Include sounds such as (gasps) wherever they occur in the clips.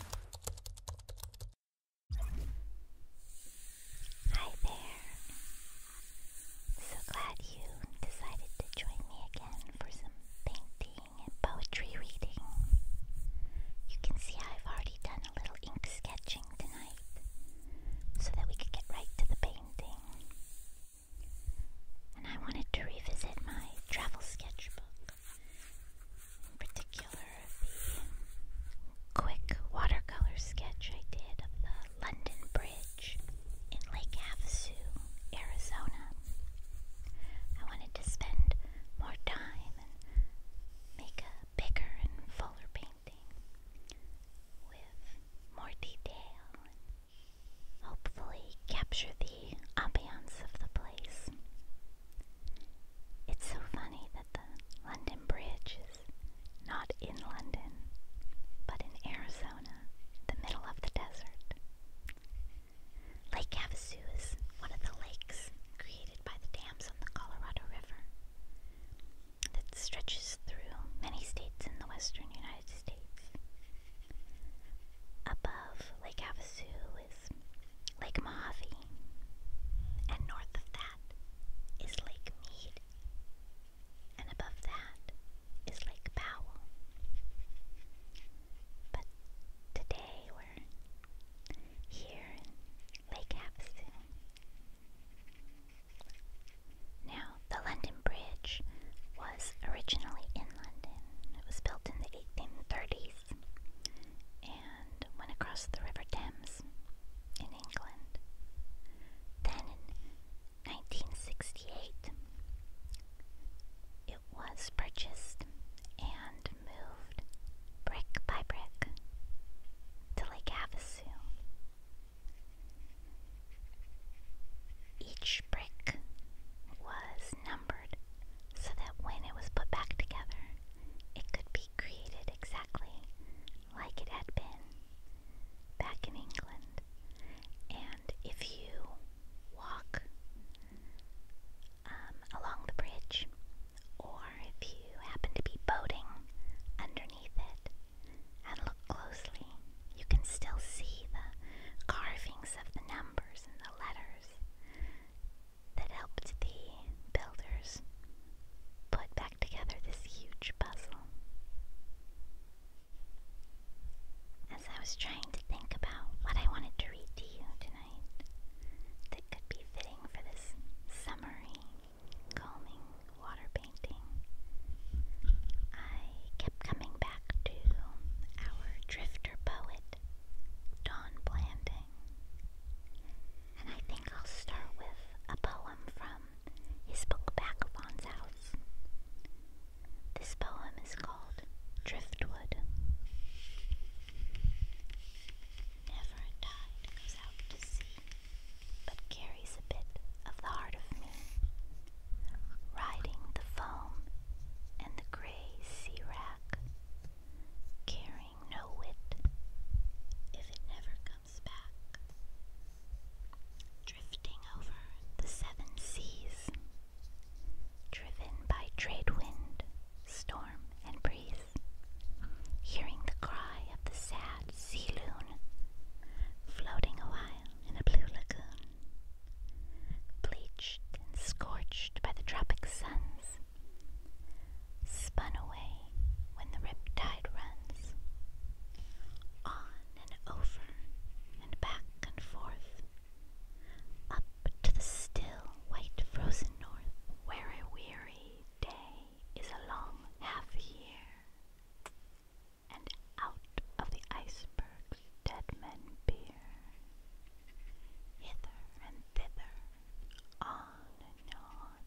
Hi, Ben. So glad you decided to join me again for some painting and poetry reading. You can see I've already done a little ink sketching tonight so that we could get right to the painting. And I wanted to revisit my travel sketchbook in particular the quick watercolor sketch I did of the London Bridge in Lake Havasu, Arizona. I wanted to spend more time and make a bigger and fuller painting with more detail and hopefully capture the ambiance of the place. It's so funny that the London Bridge is not in London, but in Arizona, the middle of the desert. Lake Havasu is one of the lakes created by the dams on the Colorado River that stretches through many states in the western United States. Above Lake Havasu is Lake Mojave. And north of that is Lake Mead. And above that is Lake Powell. But today we're here in Lake Havasu. Now, the London Bridge was originally in London. It was built in the 1830s and went across the River Thames in England. Then in 1968, it was purchased and moved brick by brick to Lake Havasu. Each brick was numbered so that when it was put back together, it could be created exactly like it had been back in England. And if you walk um, along the bridge, or if you happen to be boating underneath it and look closely, you can still see the carvings of the numbers and the letters that helped the builders put back together this huge puzzle. As I was trying to think about what I wanted to read to you tonight that could be fitting for this summery, calming water painting, I kept coming back to our drifter poet Dawn Blanding. And I think I'll start with a poem from his book *Back Backavon's House. This poem is called Driftwood. Never a out to sea, but carries a bit of the heart of me. Riding the foam and the gray sea rack caring no whit if it never comes back, drifting over the seven seas, driven by trade wind, storm, and breeze, hearing the cry of the sad sea loon, floating awhile in a blue lagoon bleached and scorched by the tropic suns, spun away when the riptide runs, on and over and back and forth, up to the still white frozen north, where a weary day is a long half year, and out of the iceberg's dead men beer hither and thither, on and on.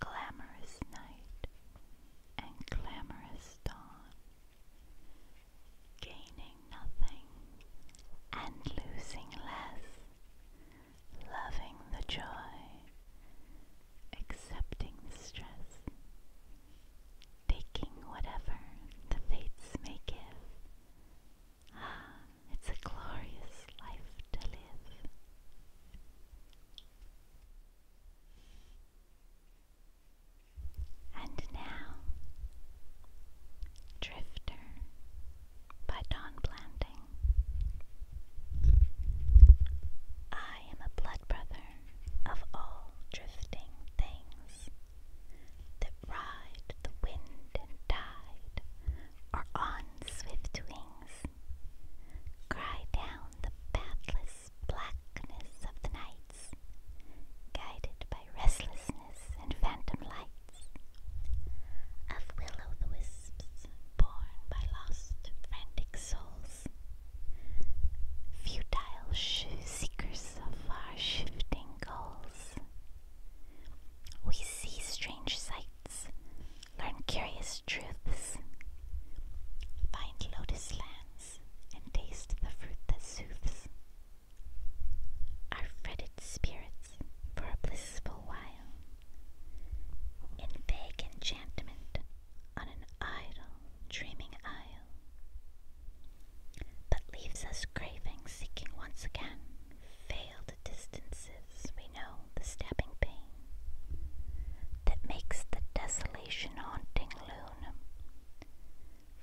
Glamorous night and glamorous dawn, gaining nothing and losing less, loving the joy, accepting the stress, taking whatever the fates may give, Ah, (gasps) it's a glorious life to live. And now, Drifter by Don Blanding. I am a blood brother of all drifting things that ride the wind and tide, are on swift wings, cry down the pathless blackness of the nights, guided by restlessness and phantom lights, of will the wisps borne by lost frantic souls, futile shoe-seekers of far-shifting goals. We see strange sights, learn curious truths, find lotus lands, and taste the fruit that soothes. Our fretted spirits for a blissful while, in vague enchantment on an idle, dreaming isle but leaves us craving, seeking once again failed distances we know the stabbing pain that makes the desolation haunting loon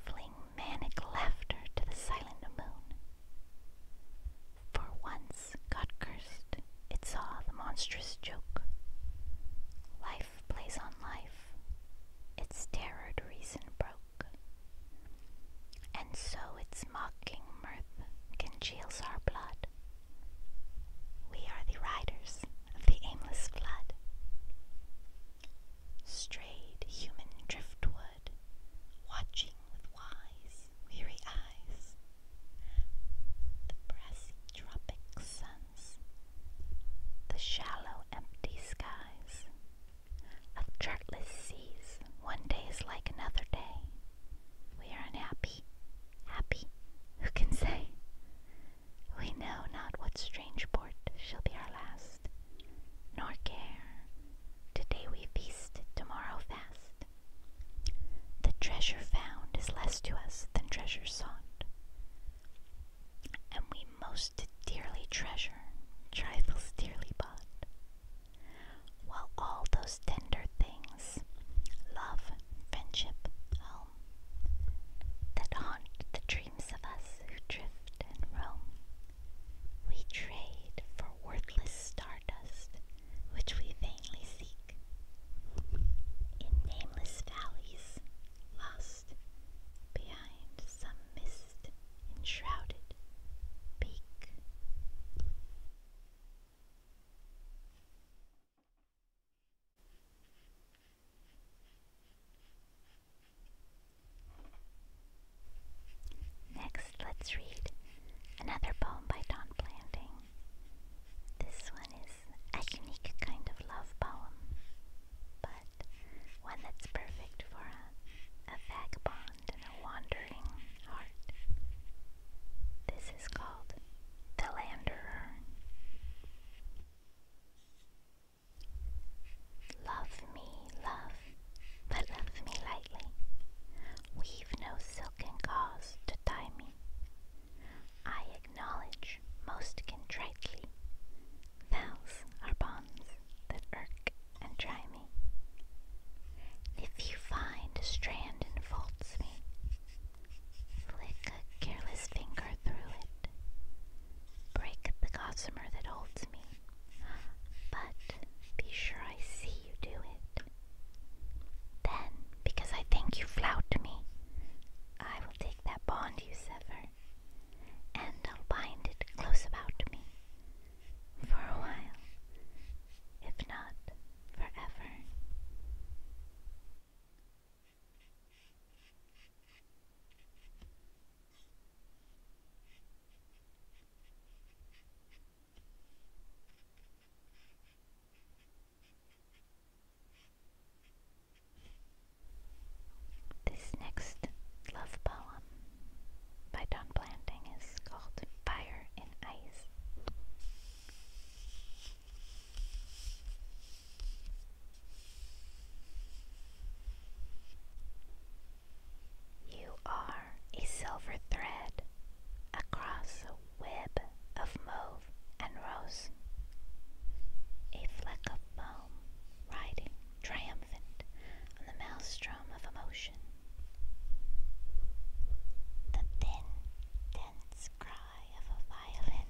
fling manic laughter to the silent moon. For once, God cursed, it saw the monstrous joke. Life plays on life, its terror reason broke. And so its mocking mirth congeals our blood. We are the riders of the aimless flood. Strayed human driftwood, watching with wise, weary eyes the brassy tropic suns, the shallow, empty skies of chartless seas. One day is like another day. We are unhappy, happy, who can say? We know not what strange port shall be our last, nor care. Today we feast, tomorrow fast. The treasure found is less to us than treasure sought, and we most to dearly treasure, trifles dearly bought, while all those tender things, love, friendship, home, that haunt the dreams of us who drift and roam, we trade for worthless stardust which we vainly seek. In nameless valleys, lost behind some mist enshrouded peak. Next, let's read another poem by Don Blanding. This one is a unique kind of love poem, but one that's perfect for a, a vagabond and a wandering heart. This is called The Landerer. Love me, love, but love me lightly. Weave no silken gauze to tie me. I acknowledge most contritely Vows are bonds that irk and try me. If you find a strand enfolds me, flick a careless finger through it. Break the gossamer that holds me, but be sure I see you do it. Then, because I think you flout me, I will take that bond you sever and I'll bind it close about me for a while, if not forever. This next love poem by Don Blanding is called Fire and Ice. You are a silver thread across a web of mauve and rose, a fleck of foam riding triumphant on the maelstrom of emotion. The thin, dense cry of a violin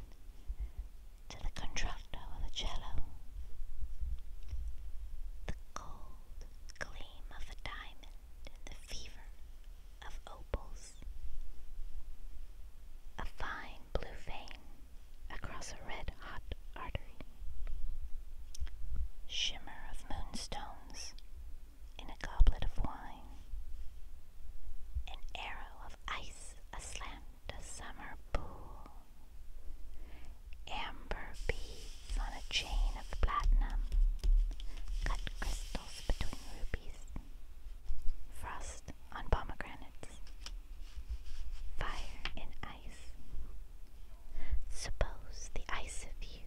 to the contralto of a cello. The cold gleam of a diamond and the fever of opals. A fine blue vein across a red hot artery. Shimmer of moonstones in a goblet of wine. An arrow of ice aslant a summer pool. Amber beads on a chain of platinum. Cut crystals between rubies. Frost on pomegranates. Fire in ice. Suppose the ice of you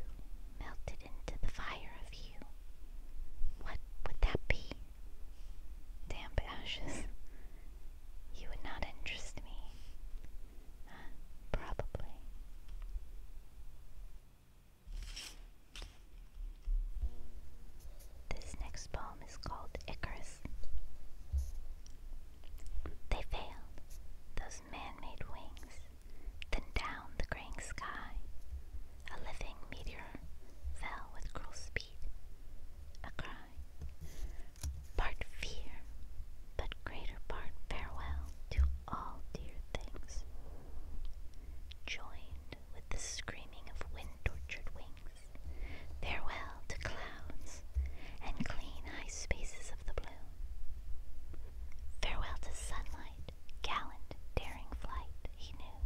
melted into the fire of you. What would that be? Damp ashes. You would not interest me. probably. This next poem is called Icarus. They failed, those man-made wings. Then down the gray sky, a living meteor fell with cruel speed. A cry, part fear, but greater part farewell to all dear things. Joined with the screaming of wind-tortured wings, farewell well to clouds and clean high spaces of the blue. Farewell to sunlight, gallant, daring flight, he knew.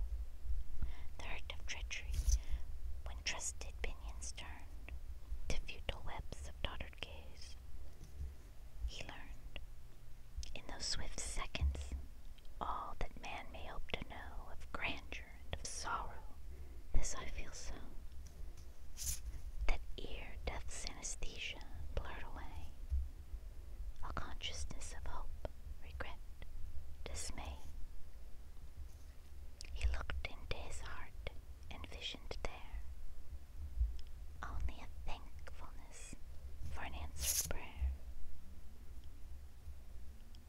The hurt of treachery, when trusted pinions turned to futile webs of tottered gaze. He learned, in those swift seconds, all that man may hope to know of grandeur and of sorrow. This I feel so, that ear death's anesthesia blurred away. A consciousness of hope, regret, dismay. He looked into his heart and visioned there only a thankfulness for an answered prayer.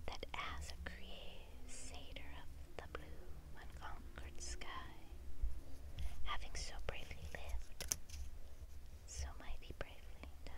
That as a creator, satyr of the blue, unconquered sky, having so bravely lived, so mighty bravely died.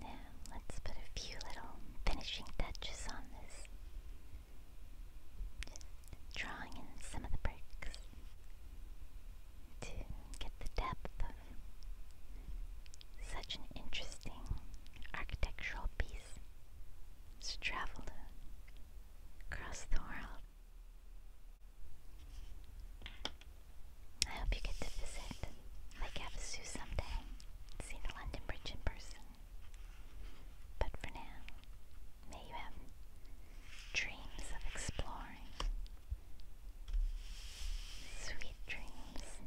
Now, let's put a few little finishing touches on this. drawing in some of the bricks to get the depth such an interesting architectural piece to travel across the world. I hope you get to visit Lake Havasu someday see the London Bridge in person. But for now, may you have dreams of exploring. Sweet dreams.